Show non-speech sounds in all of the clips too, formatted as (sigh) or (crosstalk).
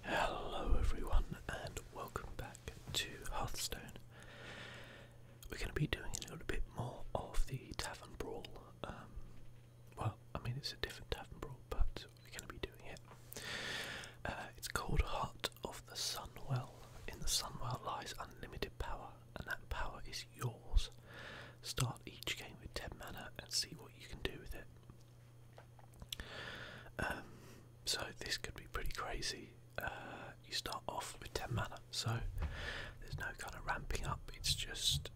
Hello everyone and welcome back to Hearthstone. We're going to be doing a little bit more of the Tavern Brawl. Um, well, I mean it's a different Tavern Brawl, but we're going to be doing it. Uh, it's called Heart of the Sunwell. In the Sunwell lies unlimited power, and that power is yours. Start each game with 10 mana and see what you can do with it. Um, so this could be pretty crazy. Uh, you start off with 10 mana, so there's no kind of ramping up, it's just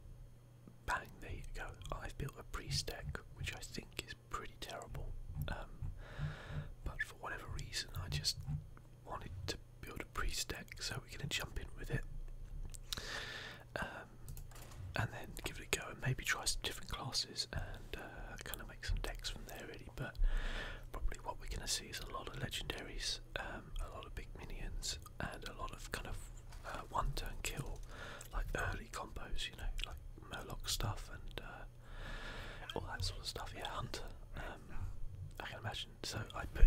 bang, there go. I've built a priest deck, which I think is pretty terrible, um, but for whatever reason, I just wanted to build a priest deck, so we're going to jump in with it. Uh, and then give it a go and maybe try some different classes and uh, kind of make some decks from there really. But probably what we're going to see is a lot of legendaries, um, a lot of big minions, and a lot of kind of uh, one-turn kill, like early combos, you know, like Murloc stuff and uh, all that sort of stuff. Yeah, Hunter. Um, I can imagine. So I put,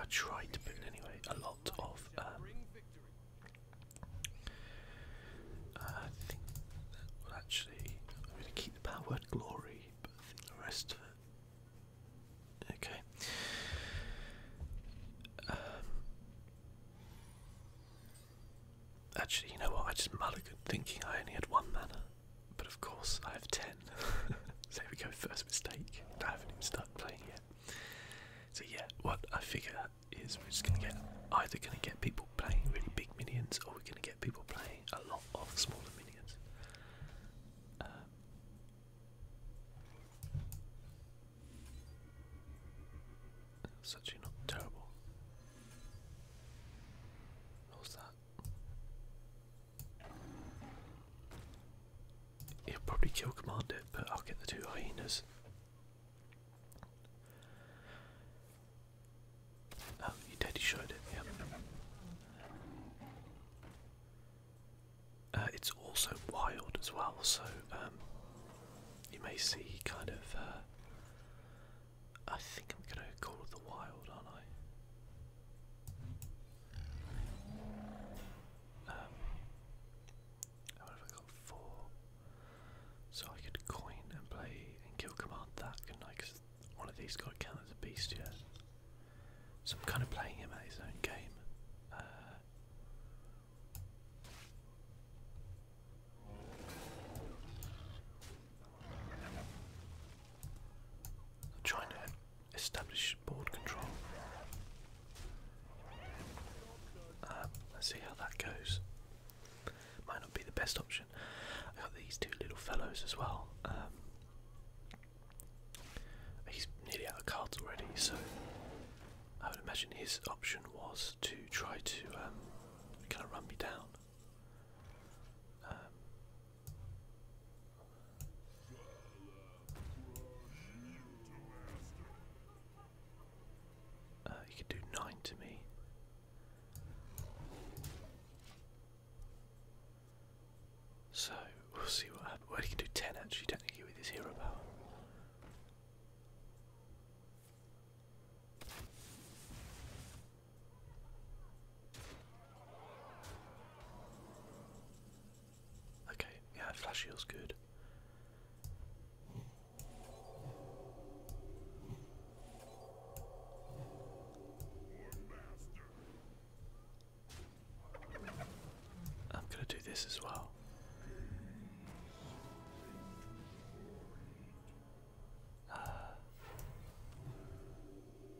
I tried to put in anyway a lot of um, I think that will actually. I'm going to keep the power word glory, but the rest of it. Okay. actually, you know what? I just mulled mulliganed thinking I only had one mana, but of course I have ten. (laughs) so here we go, first mistake. I haven't even started playing yet. So yeah, what I figure is is we're just going to get either going to get people playing really big minions or we're going to get people playing a lot of smaller minions. Um, actually not terrible. What that? He'll probably kill Commander, but I'll get the two hyenas. Oh, you did, showed it, yeah. Uh, it's also wild as well, so um, you may see kind of. Uh, I think I'm gonna call it the wild, aren't I? Um, and have got? Four. So I could coin and play and kill command that, couldn't I? Because one of these got count as a beast yet. So I'm kind of playing him at his own game. Uh, I'm trying to establish board control. Uh, let's see how that goes. Might not be the best option. I got these two little fellows as well. Um, he's nearly out of cards already, so I would imagine his option was to try to um, kind of run me down. Um, uh, you could do nine to me. So we'll see what happens. Well, he can do ten actually, technically, with his hero power. Okay, yeah, flash heal's good. I'm going to do this as well.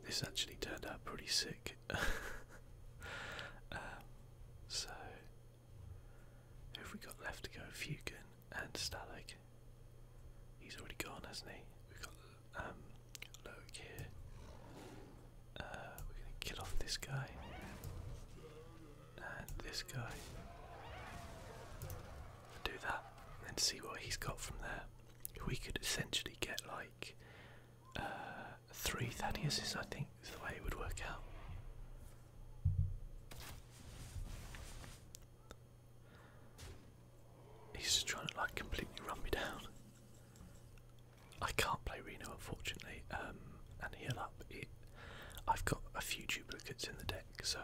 this actually turned out pretty sick. (laughs) Um, so who have we got left to go? Fugan and Stalag. He's already gone, hasn't he? We've got um, Loic uh, we're going to kill off this guy. And this guy. Do that and then see what he's got from there. We could essentially get like uh, three Thaddeus's, I think, is the way it would work out. He's just trying to like completely run me down. I can't play Reno unfortunately, um, and heal up. It, I've got a few duplicates in the deck, so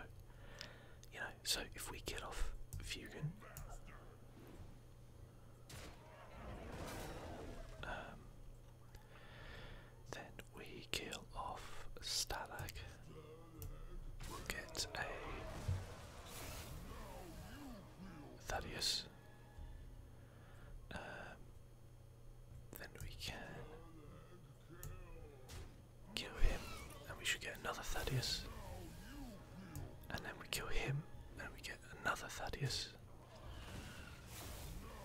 you know. So if we kill off Fugan, um, then we kill off Stalag. Get a Thaddeus. Um, then we can kill him, and we should get another Thaddeus. And then we kill him, and we get another Thaddeus.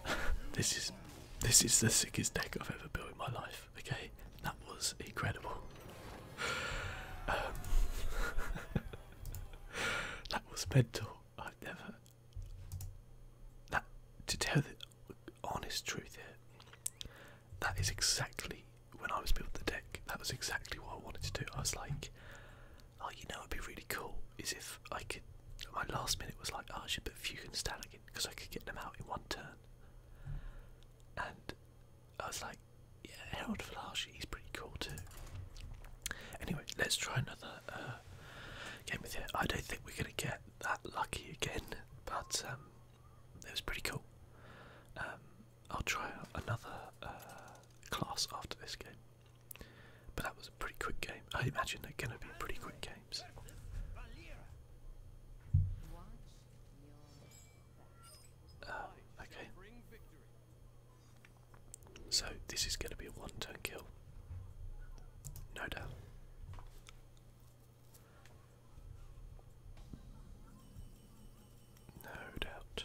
(laughs) this is this is the sickest deck I've ever built in my life. Okay, that was incredible. Um, (laughs) that was mental. I've never. That to tell the honest truth here, that is exactly when I was building the deck. That was exactly what I wanted to do. I was like, oh, you know, it'd be really cool is if I could. My last minute was like, oh, I should put Fugue and Stallion because I could get them out in one turn. And I was like, yeah, Harold Flash, he's pretty cool too. Anyway, let's try another uh, game with it. I don't think we're gonna get that lucky again, but um, it was pretty cool. Um, I'll try another uh, class after this game. But that was a pretty quick game. I imagine they're gonna be a pretty quick game. Um, okay. So this is going to be a one-turn kill, no doubt. No doubt.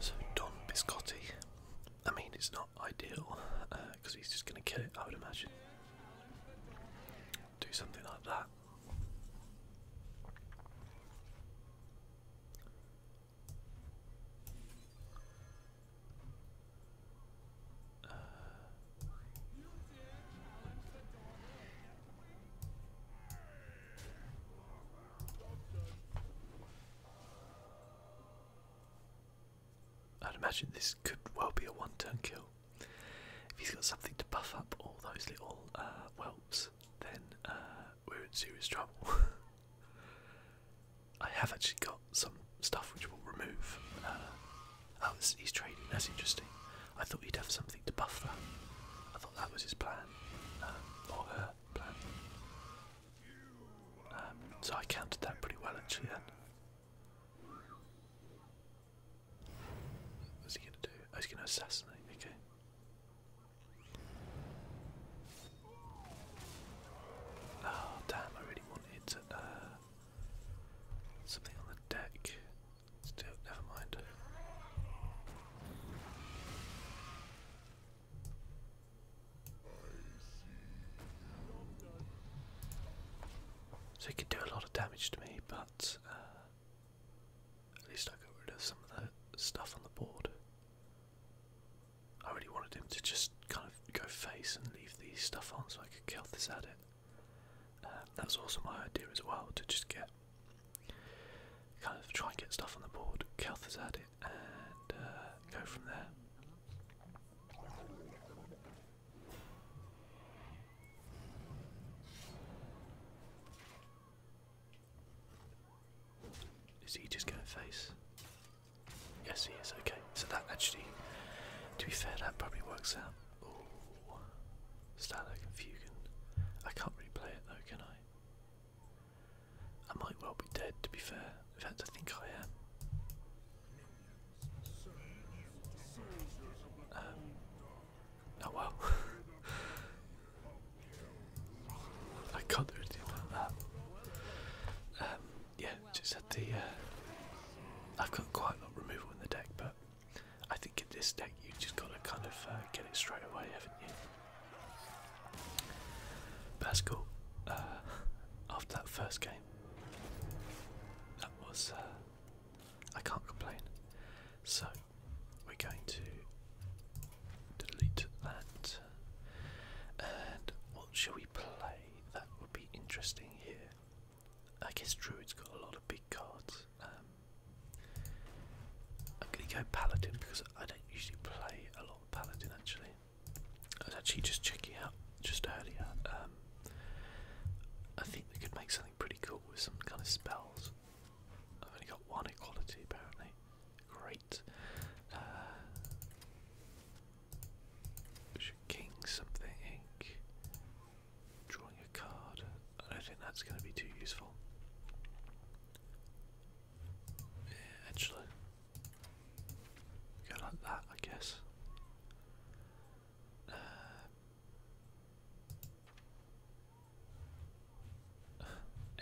So Don Biscotti. I mean, it's not ideal because uh, he's just going to kill it. I would imagine. Do something like that. I'd imagine this could well be a one-turn kill. If he's got something to buff up all those little uh, whelps, then uh, we're in serious trouble. (laughs) I have actually got some stuff which will remove. oh, he's trading. That's interesting. I thought he'd have something to buff that. I thought that was his plan, um, her. Um, so I counted that pretty well actually then. What's he gonna do? Oh, he's gonna assassinate, okay. Oh damn, I really wanted uh, something on the deck. Still, never mind. So he could do a lot of damage to me, but uh, at least I got rid of some of the stuff on the board. I really wanted him to just kind of go face and leave the stuff on so I could kill this at it. Um, that was also my idea as well to just get kind of try and get stuff on the board. this it and uh, go from there. Is he just going to face? Yes, he is. Okay, so that actually, to be fair, that probably works out. Oh, Stalag and Fugan. I can't replay it though, can I? I might well be dead, to be fair. In fact, I think I am. Um, oh well. (laughs) I can't do anything about that. Um, yeah, just had the. Uh, I've got quite a lot of removal in the deck, but I think in this deck you just gotta kind of uh, get it straight away, haven't you? that's cool. Uh, after that first game, that was. Uh, I can't complain. So, we're going to delete that. And what shall we play? That would be interesting here. I guess Druid's got a lot of big cards. Um, I'm going to go Paladin because I don't usually play a lot of Paladin actually. I was actually just checking out just earlier. Um, I think we could make something pretty cool with some kind of spells. I've only got one equality apparently. Great. Uh, king something. Drawing a card. I don't think that's going to be too useful. Yeah, actually. Go like that, I guess. Uh,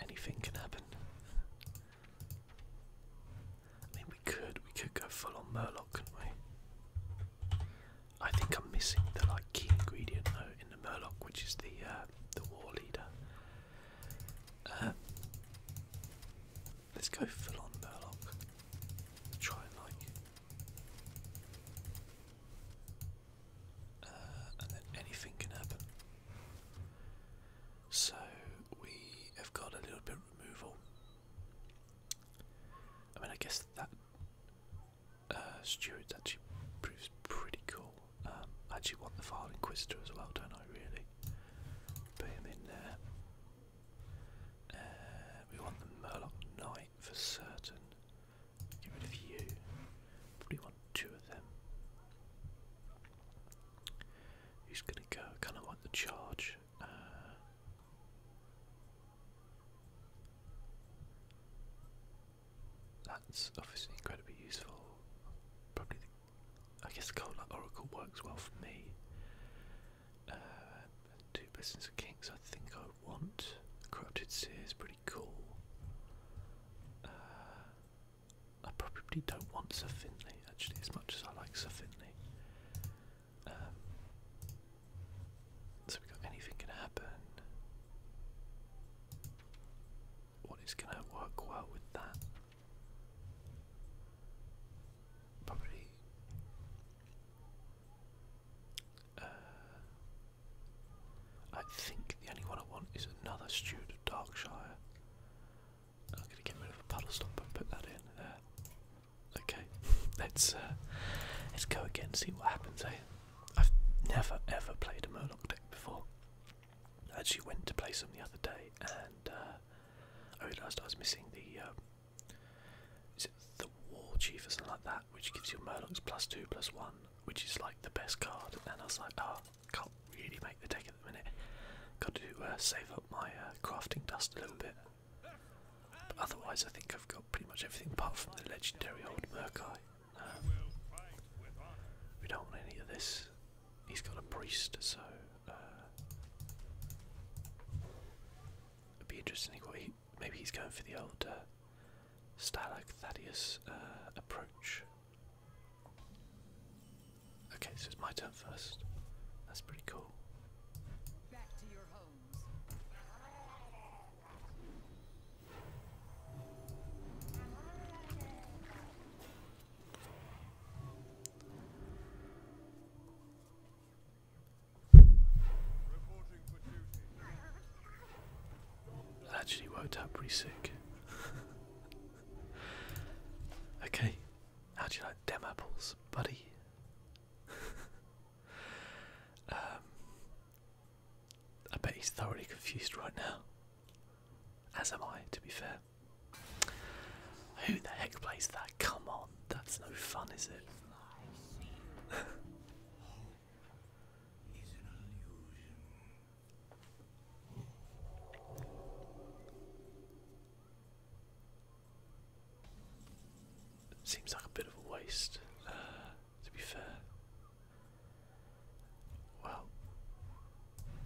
anything can happen. I mean, we could we could go full on Murloc, can not we? I think I'm missing the like key ingredient though in the Murloc, which is the uh, the war leader. Uh, let's go full on Murloc. Try and like, uh, and then anything can happen. So we have got a little bit of removal. I mean, I guess that uh, actually proves pretty cool. Um, I actually want the File Inquisitor as well, don't I, really? Put him in there. Uh, we want the Murloc Knight for certain. Get rid of you. Probably want two of them. Who's going to go? Kind of want the charge. Uh, that's obviously incredibly useful. Probably, I guess the Cold Oracle works well for me. Uh, two pieces of Kings, I think I want. Corrupted Seer is pretty cool. Uh, I probably don't want Sir Finley, actually, as much as I like Sir Finley. Um, so we got anything can happen what is going to work well with that. Probably uh, I think the only one I want is another Steward of Darkshire. I'm gonna get rid of the puddle stop and put that in there. Okay, (laughs) let's uh, let's go again and see what happens. Eh? I've never ever played a Murloc deck before. I actually went to play some the other day, and uh, I realised I was missing the. Um, is it the War Chief or something like that, which gives you Murlocs plus two plus one, which is like the best card? And I was like, oh, can't really make the take at the minute. Got to uh, save up my uh, crafting dust a little bit. But otherwise, I think I've got pretty much everything apart from the legendary old Merkai. We don't want any of this. He's got a priest, so uh, it'd be interesting. What he, maybe he's going for the old uh, Stalag Thaddeus uh, approach. Okay, so it's my turn first. That's pretty cool actually worked up pretty sick. (laughs) okay, how would you like dem apples, buddy? (laughs) Um, I bet he's thoroughly confused right now. As am I, to be fair. Who the heck plays that? Come on, that's no fun, is it? (laughs) Seems like a bit of a waste, uh, to be fair. Wow.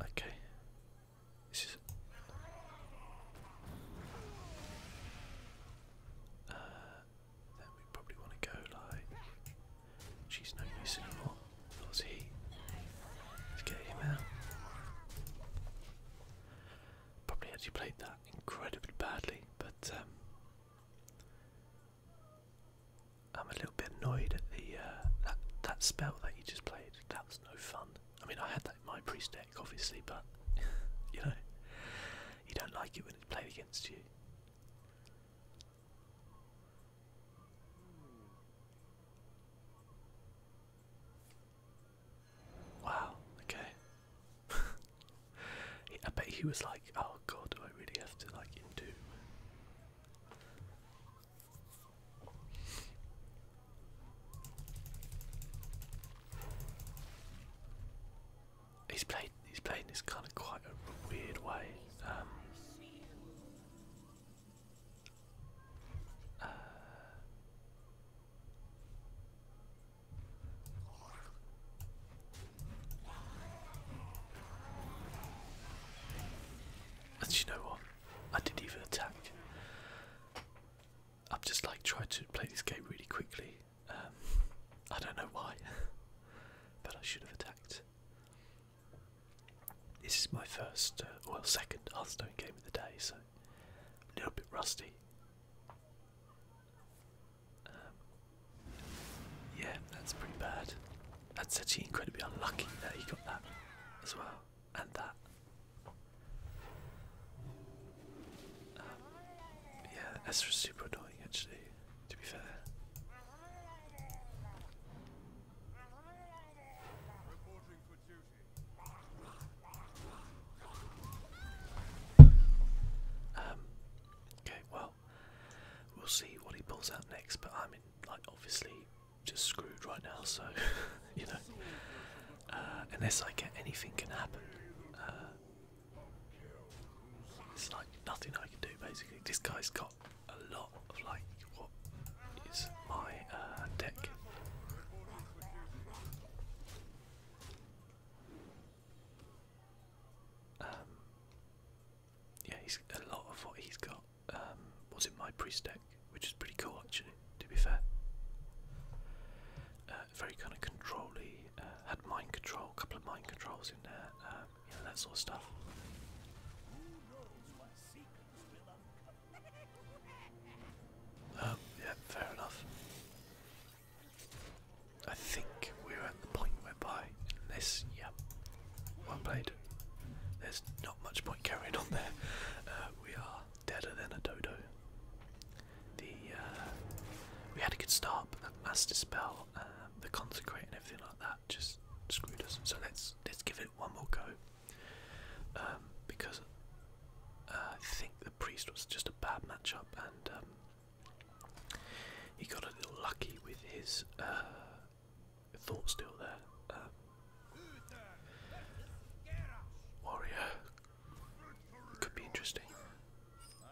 Okay. This is. Uh, then we probably want to go like. She's no use anymore. That was he. Let's get him Probably actually played that incredibly badly, but um, I'm a little bit annoyed at the uh, that that spell that you just played. That was no fun. I mean, I had that in my priest deck, obviously, but (laughs) you know, you don't like it when it's played against you. Wow. Okay. (laughs) I bet he was like, "Oh God, do I really have to like into?" He's played. He's playing this kind of quite a weird way. Um, and you know what? I didn't even attack. I've just like tried to play this game really quickly. Um, I don't know why, (laughs) but I should have attacked. This is my first, uh, well, second Hearthstone game of the day, so a little bit rusty. Um, yeah, that's pretty bad. That's actually incredibly unlucky that he got that as well, and that. Um, yeah, Ezra's super annoying actually, to be fair. Um, okay, well, we'll see what he pulls out next, but I'm like, obviously just screwed right now, so (laughs) you know, uh, unless I get anything can happen. Uh, it's like nothing I can do basically. This guy's got a lot of like what is my uh, deck. Um, yeah, he's a lot of what he's got um, was in my priest deck, which is pretty cool actually. To be fair, uh, very kind of controlly. Uh, had mind control, a couple of mind controls in there, um, that sort of stuff. Um, yeah, fair enough. I think we're at the point whereby, unless, yeah, well played. There's not much point carrying on there. Uh, we are deader than a dodo. The uh, we had a good start, that master spell, uh, the consecrate, and everything like that just screwed us. So let's let's give it one more go. Um, because I think the priest was just a bad matchup, and um, he got a little lucky with his thought still there. Um, warrior could be interesting. I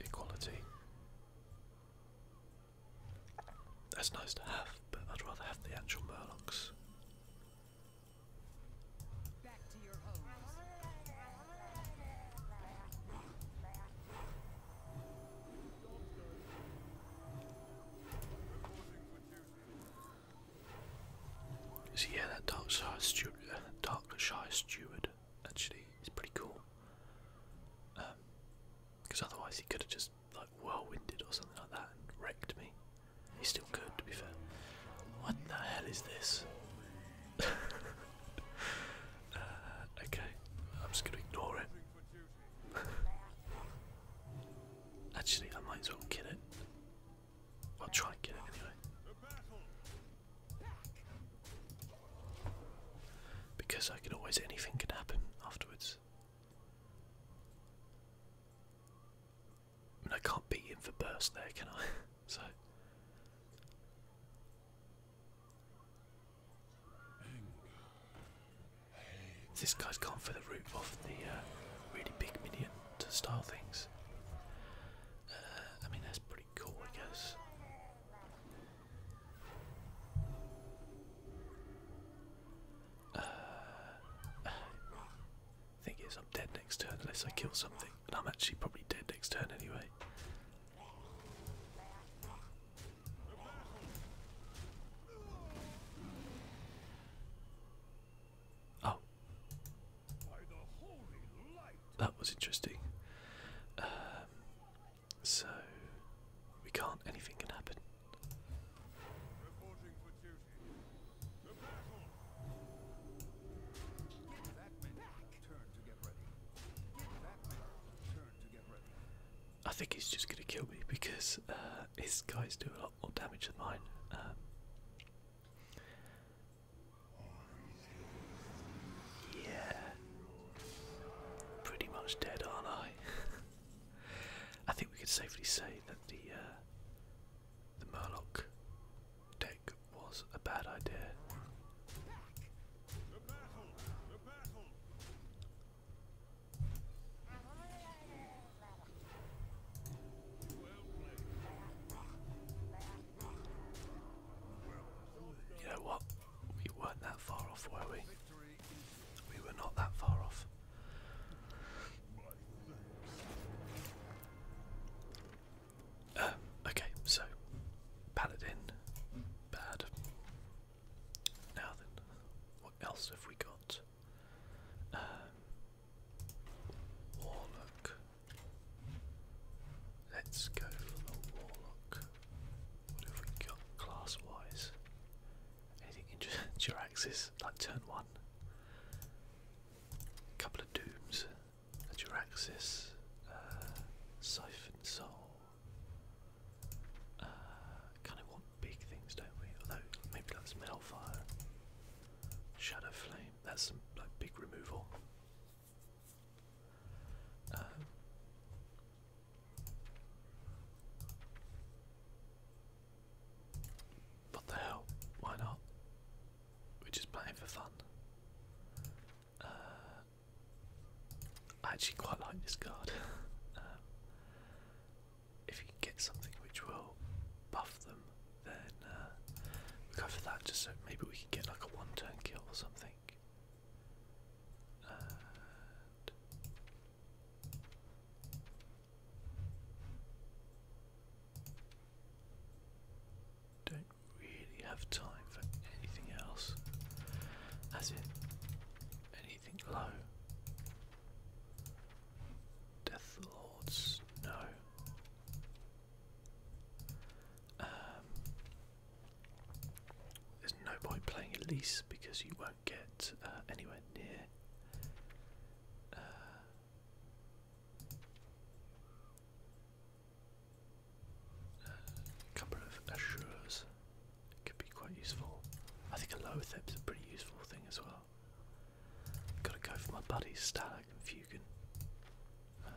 equality. That's nice to have, but I'd rather have the actual Murlocs. So yeah, that dark shy steward, uh, dark shy steward, actually is pretty cool. Because um, otherwise he could have just like whirlwinded or something like that and wrecked me. He still could, to be fair. What the hell is this? Uh, okay, I'm just gonna ignore it. Actually, I might as well kill it. I'll try and kill it anyway. Because I can always, anything can happen afterwards. And I can't beat him for burst there, can I? (laughs) so this guy's gone for the route of the uh, really big minion to style things. Uh, I mean, that's pretty cool, I guess. Uh, (sighs) I think it's i dead next turn unless I kill something. I'm actually probably dead next turn anyway. Oh. That was interesting. Um, so we can't anything can happen. I think he's just gonna kill me because uh, his guys do a lot more damage than mine. Um, yeah, pretty much dead, aren't I? (laughs) I think we could safely say that the uh, the Murloc deck was a bad idea. You know what? We weren't that far off, were we? We were not that far off. Uh, okay, so Paladin, bad. Now then, what else have we got? Um, warlock. Let's go for the warlock. What have we got class wise? Anything interesting? (laughs) Jiraxis, like turn one. A couple of dooms a Jiraxis, uh, Siphon Soul. Uh, kind of want big things, don't we? Although maybe that's Melfire, Shadow Flame. That's like big removal. Uh, what the hell? Why not? we're just playing for fun. Uh, I actually quite like this card. (laughs) Um, if you can get something which will buff them, then uh, we'll go for that just so maybe we can get like a one turn kill or something. Uh, don't really have time for anything else. As in, anything low. Death Lords, no. Um, there's no point playing Elise because you won't get uh, anywhere near. Uh, a couple of assures could be quite useful. I think a lower is a pretty useful thing as well. Gotta go for my buddies Stalag and Fugan. Uh,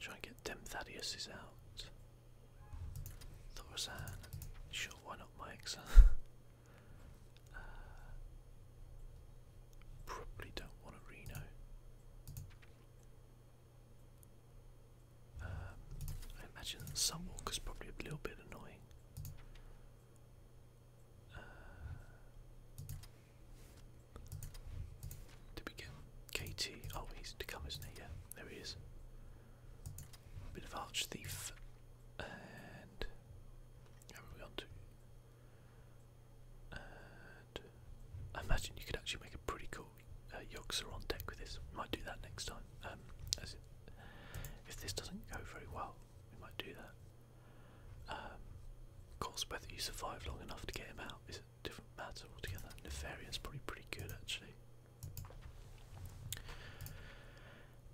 try and get them Thaddeus's out. Thorazan. Sure, why not Mike's? (laughs) uh, Probably don't want a Reno. Um, I imagine Sunwalker's probably a little bit annoying. Uh, did we get KT? Oh, he's to come, isn't he? Yeah, there he is. Bit of arch thief, and have we I imagine you could actually make a pretty cool uh, Yogg-Saron deck with this. Might do that next time. Um, if this doesn't go very well, we might do that. Um, of course, whether you survive long enough to get him out is a different matter altogether. Nefarious probably pretty good actually.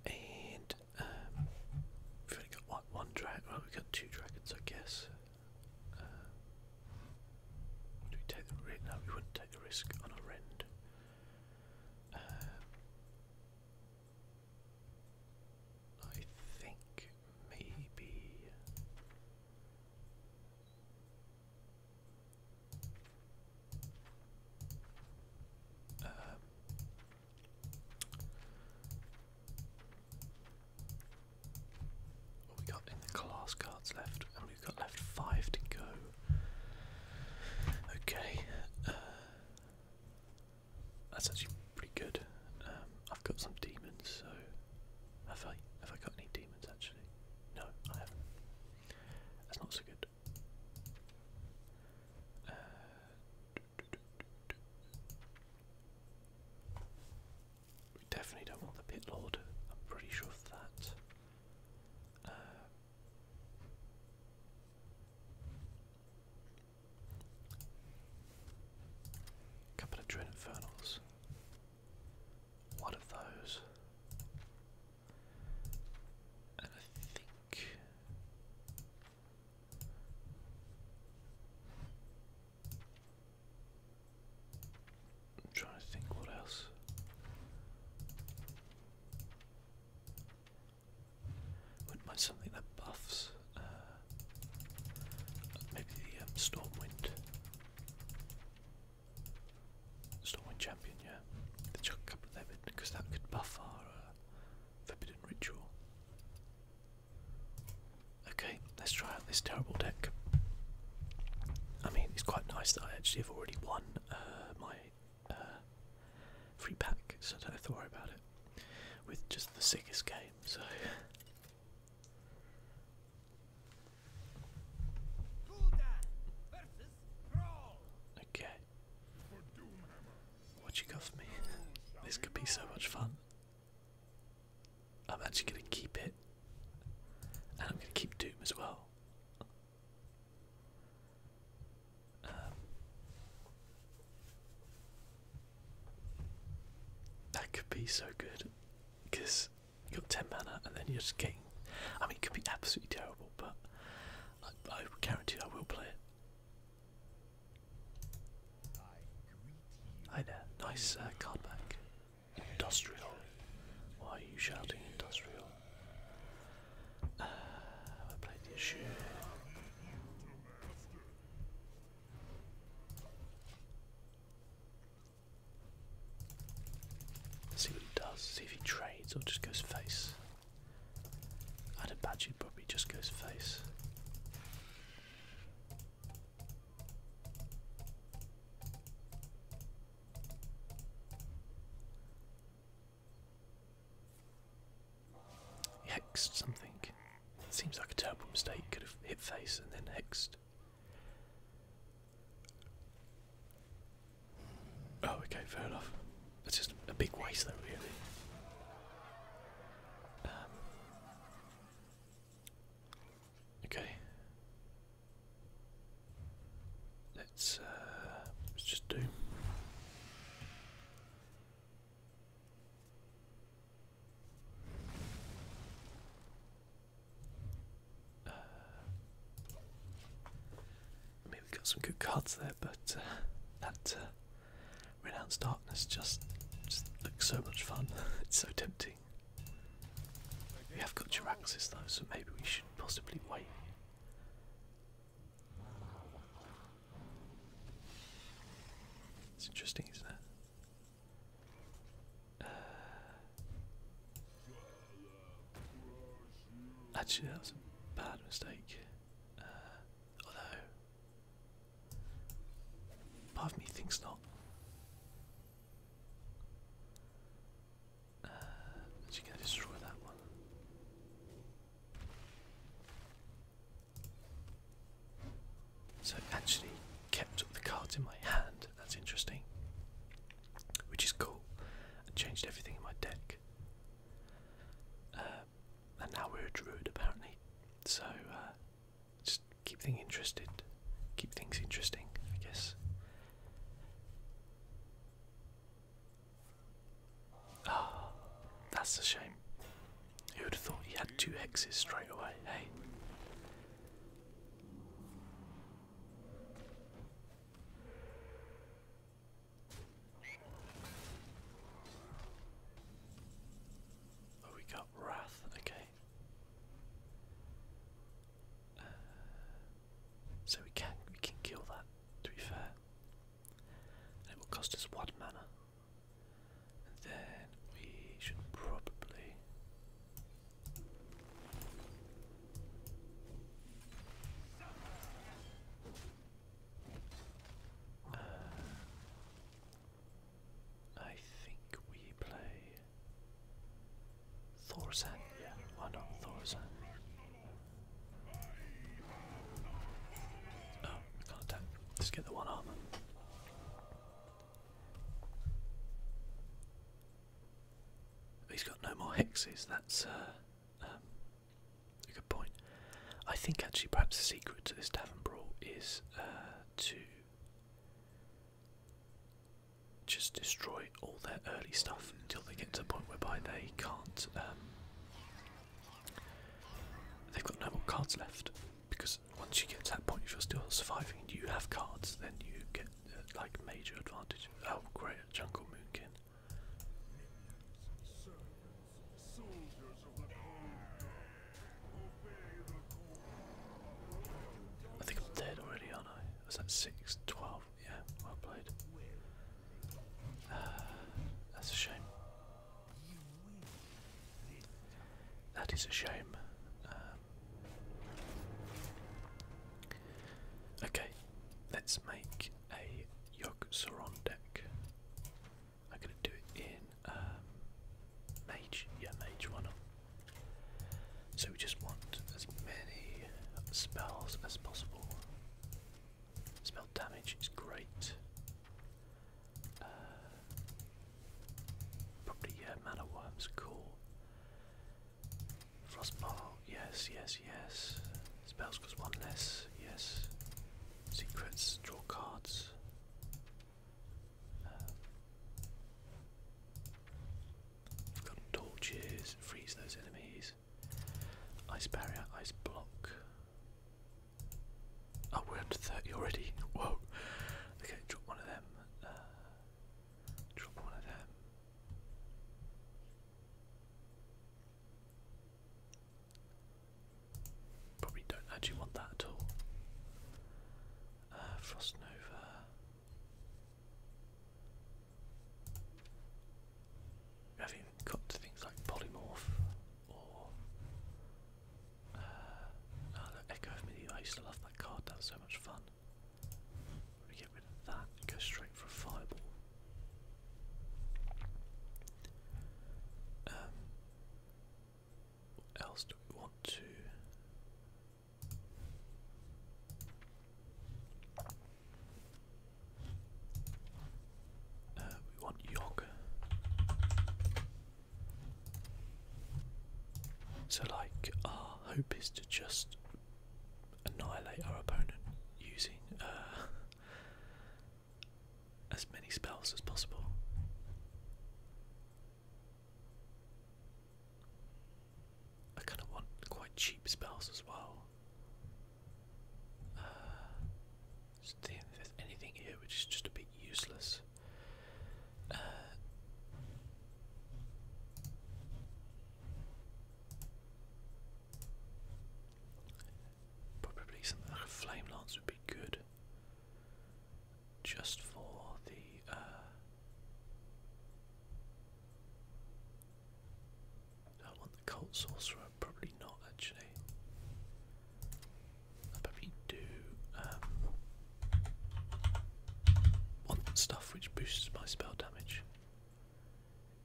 And um, we've only got like one dragon. Well, we've got two dragons, I guess would we take the risk? No, we wouldn't take the risk on a rend. Uh, I think maybe. Um, we got in the class cards left, and we've got left five to go. Okay, uh, that's actually pretty good. Um, I've got some demons, so have I? Have I got any demons actually? No, I haven't. That's not so good. Uh, we definitely don't want the pit lord. I'm pretty sure of that. a uh, couple of dread infernals. One of those. And I think I'm trying to think what else. Wouldn't something that buffs. Uh, maybe the um, Stormwind. Stormwind Champion, yeah. They chuck a of them because that could buff our uh, Forbidden Ritual. Okay, let's try out this terrible deck. I mean, it's quite nice that I actually have already won uh, my uh, free pack, so I don't have to worry about it. With just the sickest game, so. Okay. What you got for me? This could be so much fun. I'm actually going to keep it. And I'm going to keep Doom as well. Um, that could be so good. Because you have got 10 mana and then you're just getting. I mean, it could be absolutely terrible, but I guarantee I will play it. Hi there, nice uh, card back. Industrial. Why are you shouting industrial? Uh, I played the issue. see what he does. See if he trades or just goes face. I'd imagine probably just goes face. Hexed something. Seems like a terrible mistake. Could have hit face and then hexed. Oh, okay, fair enough. That's just a big waste, though, really. Um, Okay. Let's uh, let's just do uh, we got some good cards there, but uh, that uh, Renounce Darkness just just looks so much fun. (laughs) it's so tempting. We have got your Jiraxis though, so maybe we should possibly wait. It's interesting, isn't it? Uh, actually, that was a bad mistake. Uh, although, Part of thinks not. Uh, she gonna destroy that one. So actually kept the cards in my hand. That's interesting. Which is cool. changed everything in my deck. Uh, and now we're a druid apparently. So uh, just keep things interested, keep things interesting, I guess. Ah, that's a shame. Who would have thought he had two hexes straight away, hey? Oh, we got Wrath, okay. Uh, so we can we can kill that. To be fair, and it will cost us what mana. And then we should probably. I think we play Thorzan. Yeah, why not Oh, can't attack. Let's get the one armor. He's got no more hexes. That's uh, um, a good point. I think actually perhaps the secret to this tavern is uh, to just destroy all their early stuff until they get to a point whereby they can't. Um, they've got no more cards left because once you get to that point, if you're still surviving, and you have cards, then you get uh, like major advantage. Oh, great, Jungle Moonkin. of the I think I'm dead already, aren't I? Was that 6? 12? Yeah, well played. (sighs) that's a shame. That is a shame. Um, okay, let's make a yogg deck. I'm gonna do it in um, mage. Yeah, mage. Why So we just want as many spells as possible. Spell damage is great. Uh, probably yeah, mana worms. Cool. Frostball. Yes, yes, yes. Spells cause one less. Yes. Secrets. Draw cards got torches, freeze those enemies. Ice barrier, ice block. Oh, we're up 30 already. (laughs) Whoa. Okay, drop one of them. Uh, drop one of them. Probably don't actually want that at all. Uh, Frostnova. haven't got things like Polymorph or. Uh, oh, Echo of Medieval. I used to love that card, that was so much fun. We get rid of that go straight for a Fireball. Um, else do we want to? Uh, we want yoga. So, like, our hope is to just annihilate our opponent using uh, (laughs) as many spells as possible. I kind of want quite cheap spells as well. Uh, anything here which is just a bit useless. Uh, probably something flame lance would be good just for the uh, I want the Colt Sorcerer, probably not actually. I probably do um, want stuff which boosts my spell damage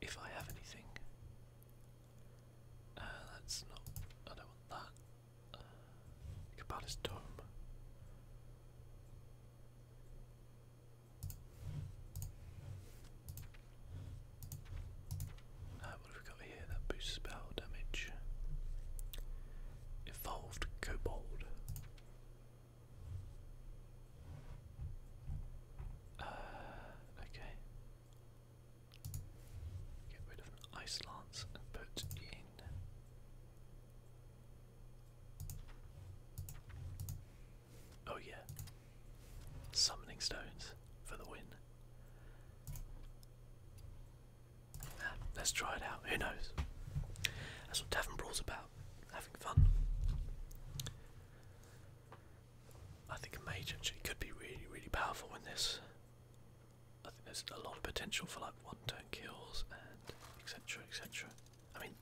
if I have anything. Uh, that's not. I don't want that. Uh, Cabana's dome. what have we got here? That boosts spell damage. Evolved Kobold. Uh, okay. Get rid of an ice lance and put Oh, yeah. Summoning stones for the win. Ah, let's try it out. Who knows? That's what Tavern about. Having fun. I think a mage actually could be really, really powerful in this. I think there's a lot of potential for like one-turn kills and etc. etc. I mean,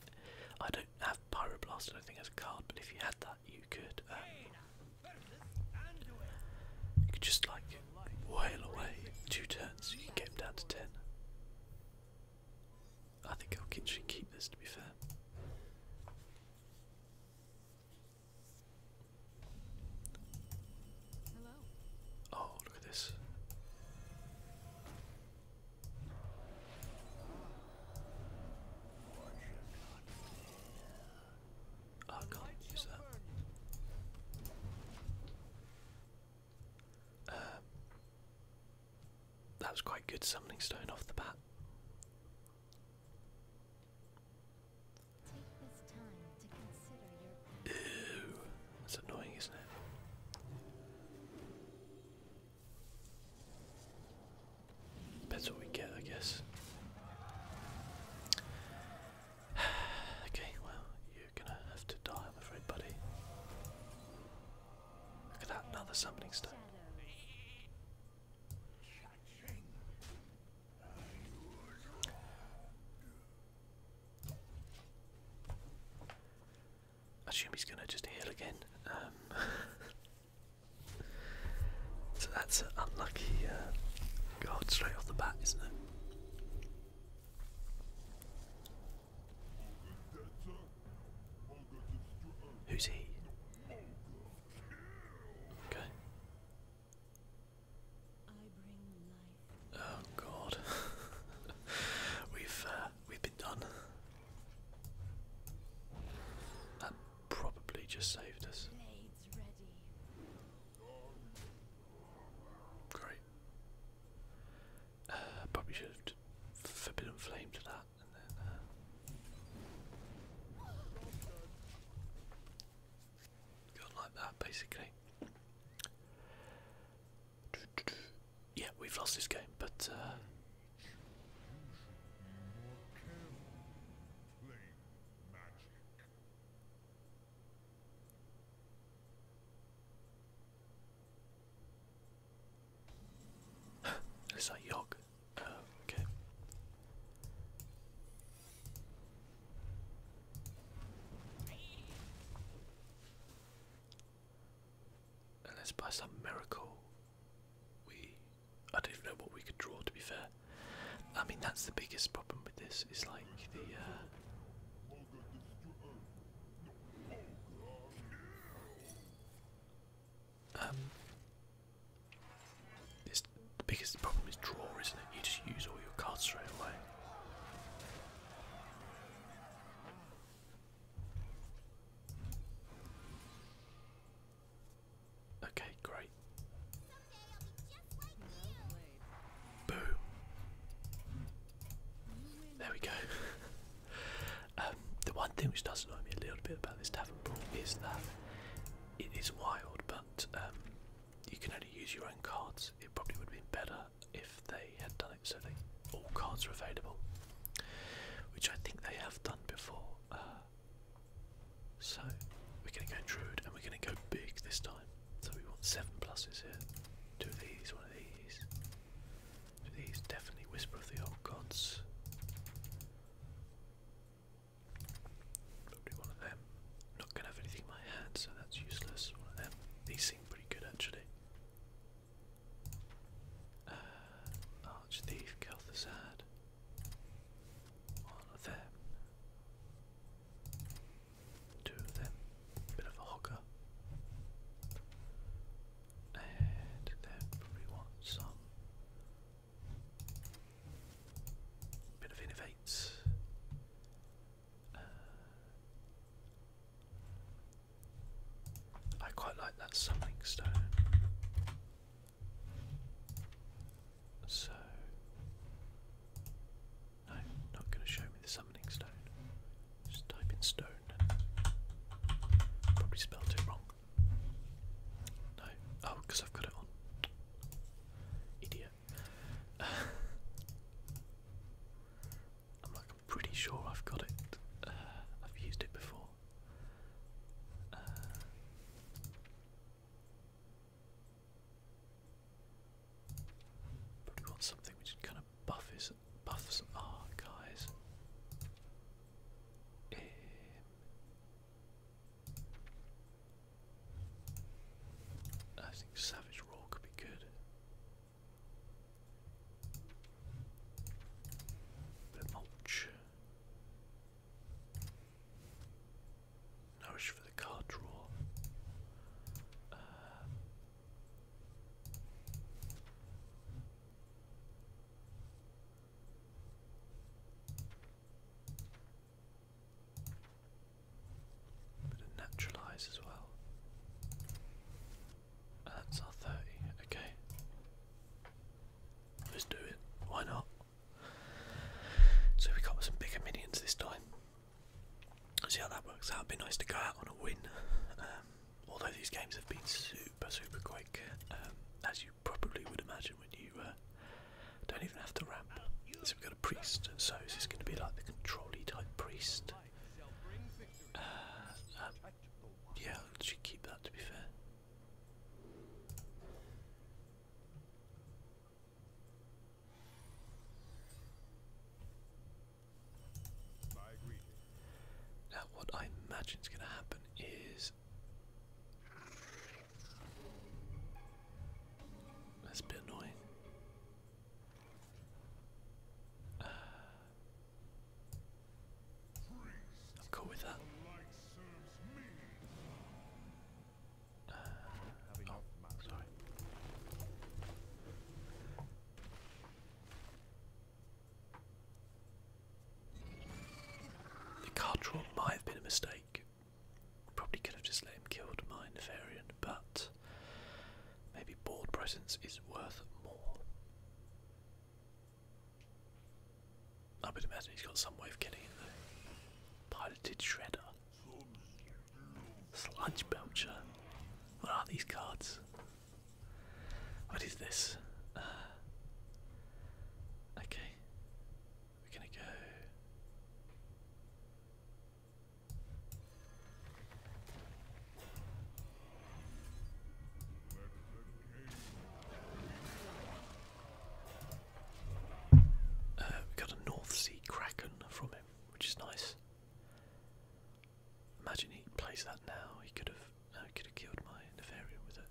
I don't have pyroblast. I don't think as a card, but if you had that, you could. Um, you could just like wail away two turns. You can get him down to ten. I think Elkin should keep this. To be fair. Oh, look at this. Oh, I can't use that. Um, that was quite good summoning stone off the bat. Ew. That's annoying, isn't it? That's what we get, I guess. (sighs) okay, well, you're gonna have to die, I'm afraid, buddy. Look at that, another summoning stone. Assume he's gonna just heal again. Um, (laughs) so that's an unlucky uh, straight off the bat, isn't it? Who's he? Okay. Oh god. (laughs) we've uh, we've been done. That probably just saved us. Great. Uh, probably should forbidden flame to that and then uh, like that, basically. Yeah, we've lost this game, but. Uh, (laughs) Is Yog? Oh, okay. Unless by some miracle we I don't know what we could draw to be fair. I mean that's the biggest problem with this is like the uh, um, it's, the biggest problem is draw, isn't it? You just use all your cards straight away. Okay, great. Boom. There we go. (laughs) Um, the one thing which does annoy me a little bit about this tavern brawl is that it is wild, but um, you can only use your own cards. It probably would have been better if they had done it so that all cards are available, which I think they have done before. Uh, so we're going to go Druid and we're going to go big this time. So we want seven pluses here. Two these, one of these. Two these, definitely Whisper of the Old Gods. Probably one of them i not going to have anything in my hand, so that's useless. One of them. These seem pretty good actually. Uh, Arch Thief, Kel'Thuzad. One of them. Two of them. Bit of a hogger. And then probably want some. Bit of innovates. Uh, I quite like that summoning stone. So, no, not going to show me the summoning stone. Just type in stone. Probably spelled it wrong. No, oh, because I've got it on. Idiot. (sighs) I'm like, pretty sure I've got it. Uh, I've used it before. Uh, probably want something which kind of buffs buffs our guys. Um, I think Savage Roll could be good. Bit mulch. Nourish for the card draw. Uh, Bit of naturalize as well. that's our 30, okay. Let's do it, why not? So we got some bigger minions this time. see how that works out. be nice to go out on a win. Um, although these games have been super, super quick, um, as you probably would imagine when you uh, don't even have to ramp priest, so is this going to be like the controlly type priest? Uh, um, yeah, should keep that to be fair. Now, what I imagine is going to happen is that's a bit annoying. I'm cool with that. Uh, oh, sorry. The card draw might have been a mistake. Probably could have just let him kill my Nefarian, but Maybe board presence is worth more. I would imagine he's got some way of getting it though. Piloted Shredder. Sludge Belcher. What are these cards? What is this? Ah. okay. We're gonna go. Uh, we got a North Sea Kraken from him, which is nice. Imagine he plays that now. He could have, no, uh, he could have killed my Nefarian with it.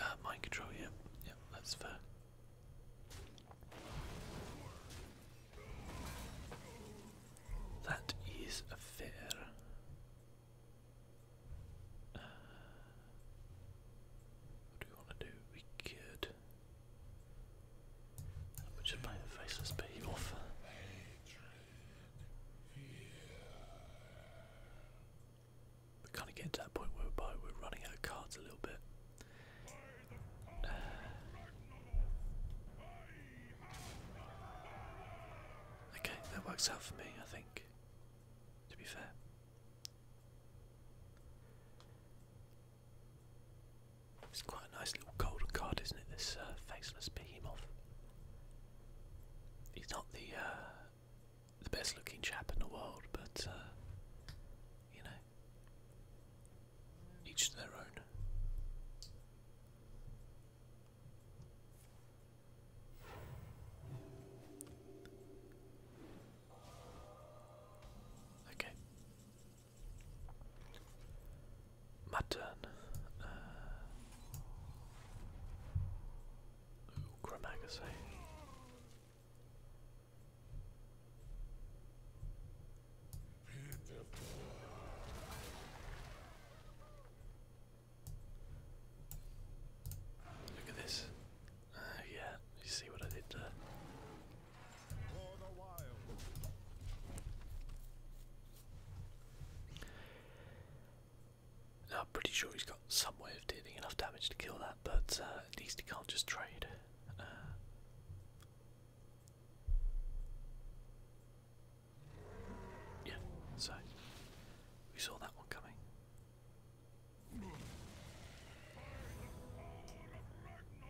Uh, mind control. Yeah, yeah, that's fair. That is a fair. Uh, what do we want to do? We could. Which is by the faceless pay off. We kind of get to that point whereby we're running out of cards a little bit okay, that works out for me, I think, to be fair. It's quite a nice little golden card, isn't it? This uh, faceless behemoth. He's not the uh, the best looking chap in the world, but uh, you know, each to their own. Okay. My turn. Uh, Ooh, Look at this. Uh, yeah, you see what I did there. I'm pretty sure he's got some way of dealing enough damage to kill that, but uh, at least he can't just trade. Uh, yeah, so we saw that one coming.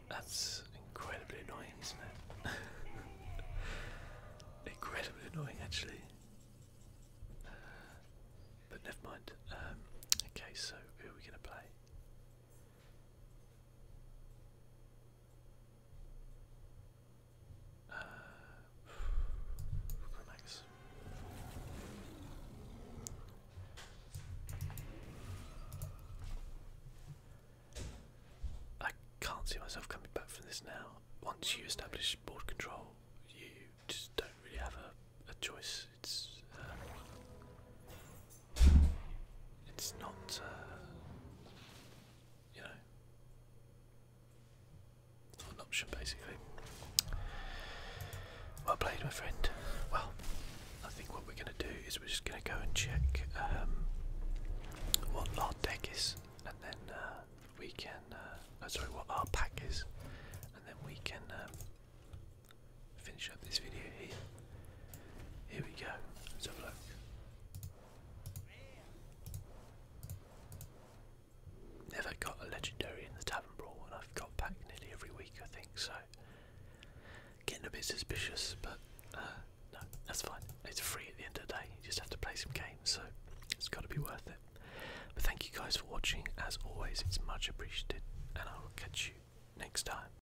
That's incredibly annoying, isn't it? (laughs) incredibly annoying, actually. but never mind. Um, okay, so who are we going to play? I can't see myself coming back from this now. Once you establish board control, you just don't really have a, a choice. It's. Uh, it's not, uh, you know, it's not an option basically. Well played, my friend. Well, I think what we're going to do is we're just going to go and check um, what our deck is, and then uh, we can. Uh, oh, sorry, what our pack is, and then we can. Um, finish up this video here. Here we go. Let's have a look. Never got a legendary in the tavern brawl, and I've got back nearly every week, I think. So getting a bit suspicious, but uh, no, that's fine. It's free at the end of the day. You just have to play some games, so it's got to be worth it. But thank you guys for watching. As always, it's much appreciated, and I will catch you next time.